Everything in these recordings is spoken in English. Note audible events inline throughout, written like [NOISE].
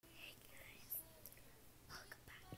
Hey guys, welcome back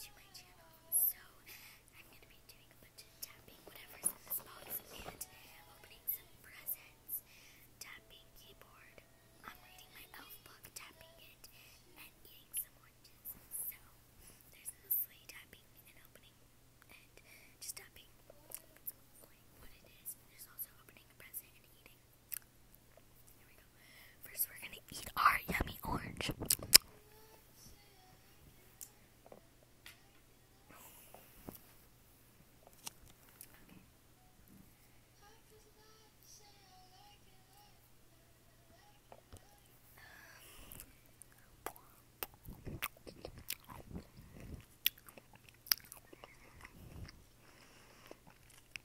to my channel. So, I'm going to be doing a bunch of tapping, whatever's in this box, and opening some presents. Tapping keyboard. I'm reading my elf book, tapping it, and eating some oranges. So, there's mostly tapping and opening, and just tapping. That's like what There's also opening a present and eating. Here we go. First, we're gonna eat our yummy orange.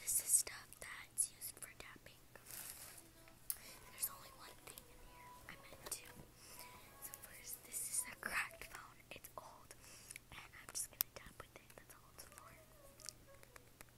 This is stuff that's used for tapping. There's only one thing in here. I meant two. So first, this is a cracked phone. It's old, and I'm just gonna tap with it. That's all it's for.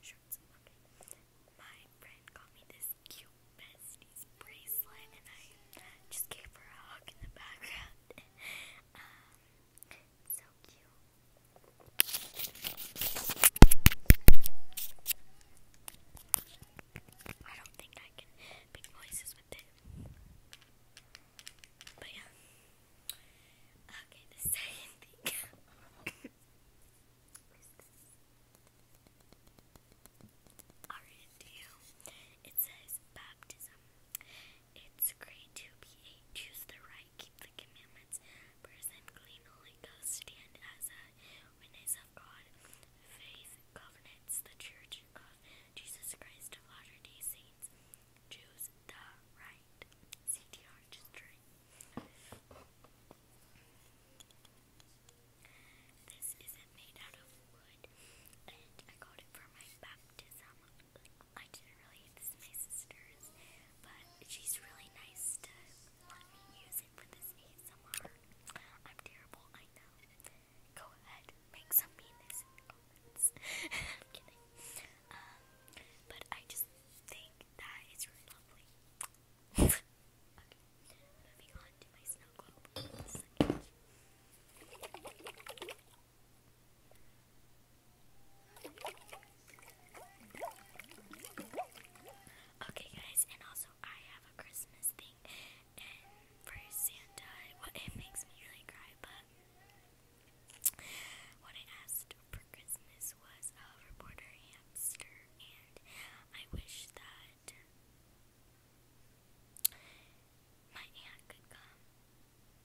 shirts and My friend got me this cute besties bracelet and I just gave her a hug in the background. [LAUGHS] Um, so cute. I don't think I can make noises with it. But yeah. Okay, the second thing [LAUGHS] it you. says baptism. It's great to be a choose the right, keep the commandments, person clean, holy stand as a witness of God, faith, covenants, the church of Jesus Christ of Latter-day Saints choose the right CDR string. This isn't made out of wood, and I got it for my baptism. I didn't really get my sister's, but she's really nice to let me use it for this ASMR. I'm terrible, I know. Go ahead, make some meanness. [LAUGHS] I'm kidding. Um, but I just think that really lovely. [LAUGHS] okay, moving on to my snow globe. Okay, guys, and also I have a Christmas thing, and for Santa, what it makes me really cry, but what I asked for Christmas was a reporter hamster, and I wish that my aunt could come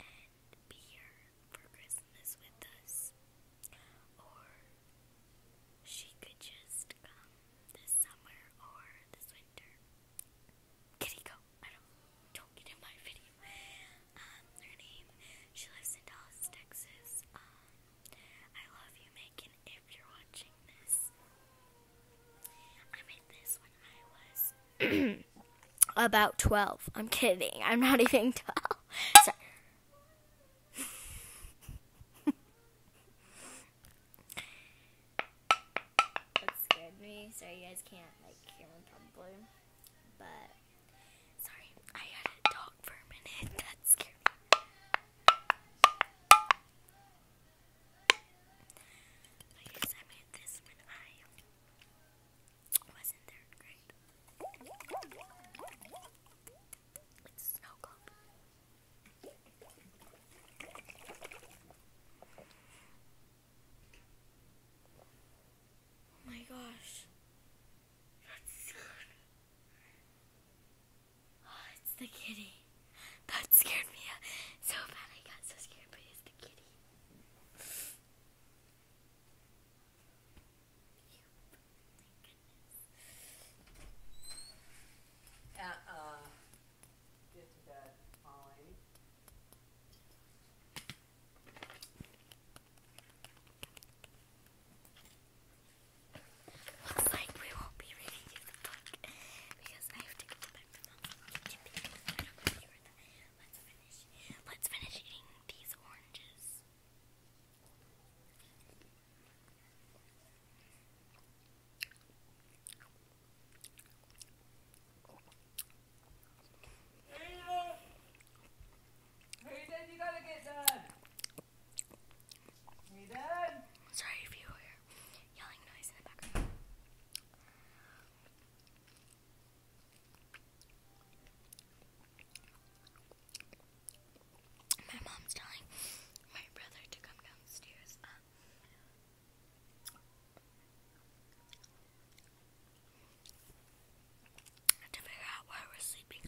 and be here for Christmas with us, or she could just come this summer or this winter. Kitty, go! I don't, don't get in my video. Um, her name, she lives in Dallas, Texas. Um, I love you, Megan, if you're watching this. I made this when I was [CLEARS THROAT] about 12. I'm kidding. I'm not even [LAUGHS] 12. Sorry. [LAUGHS] that scared me, so you guys can't, like, hear me probably. But sorry, I had a dog for a minute. [LAUGHS] That scared me. I I made this when I was in third grade. It's snow globe. Oh my gosh. That's oh, it's the kitty. That scared me so bad. I got so scared, but it's the kitty. uh Looks like we won't be reading the book because I have to go back to mom. let Let's finish eating these oranges. Sorry if you hear yelling noise in the background. My mom's telling my brother to come downstairs. Um, to figure out why we're sleeping.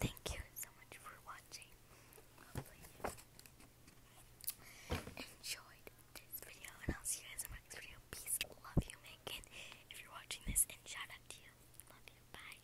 Thank you so much for watching. Hopefully you enjoyed this video and I'll see you guys in my next video. Peace. Love you, Megan. If you're watching this and shout out to you. Love you. Bye.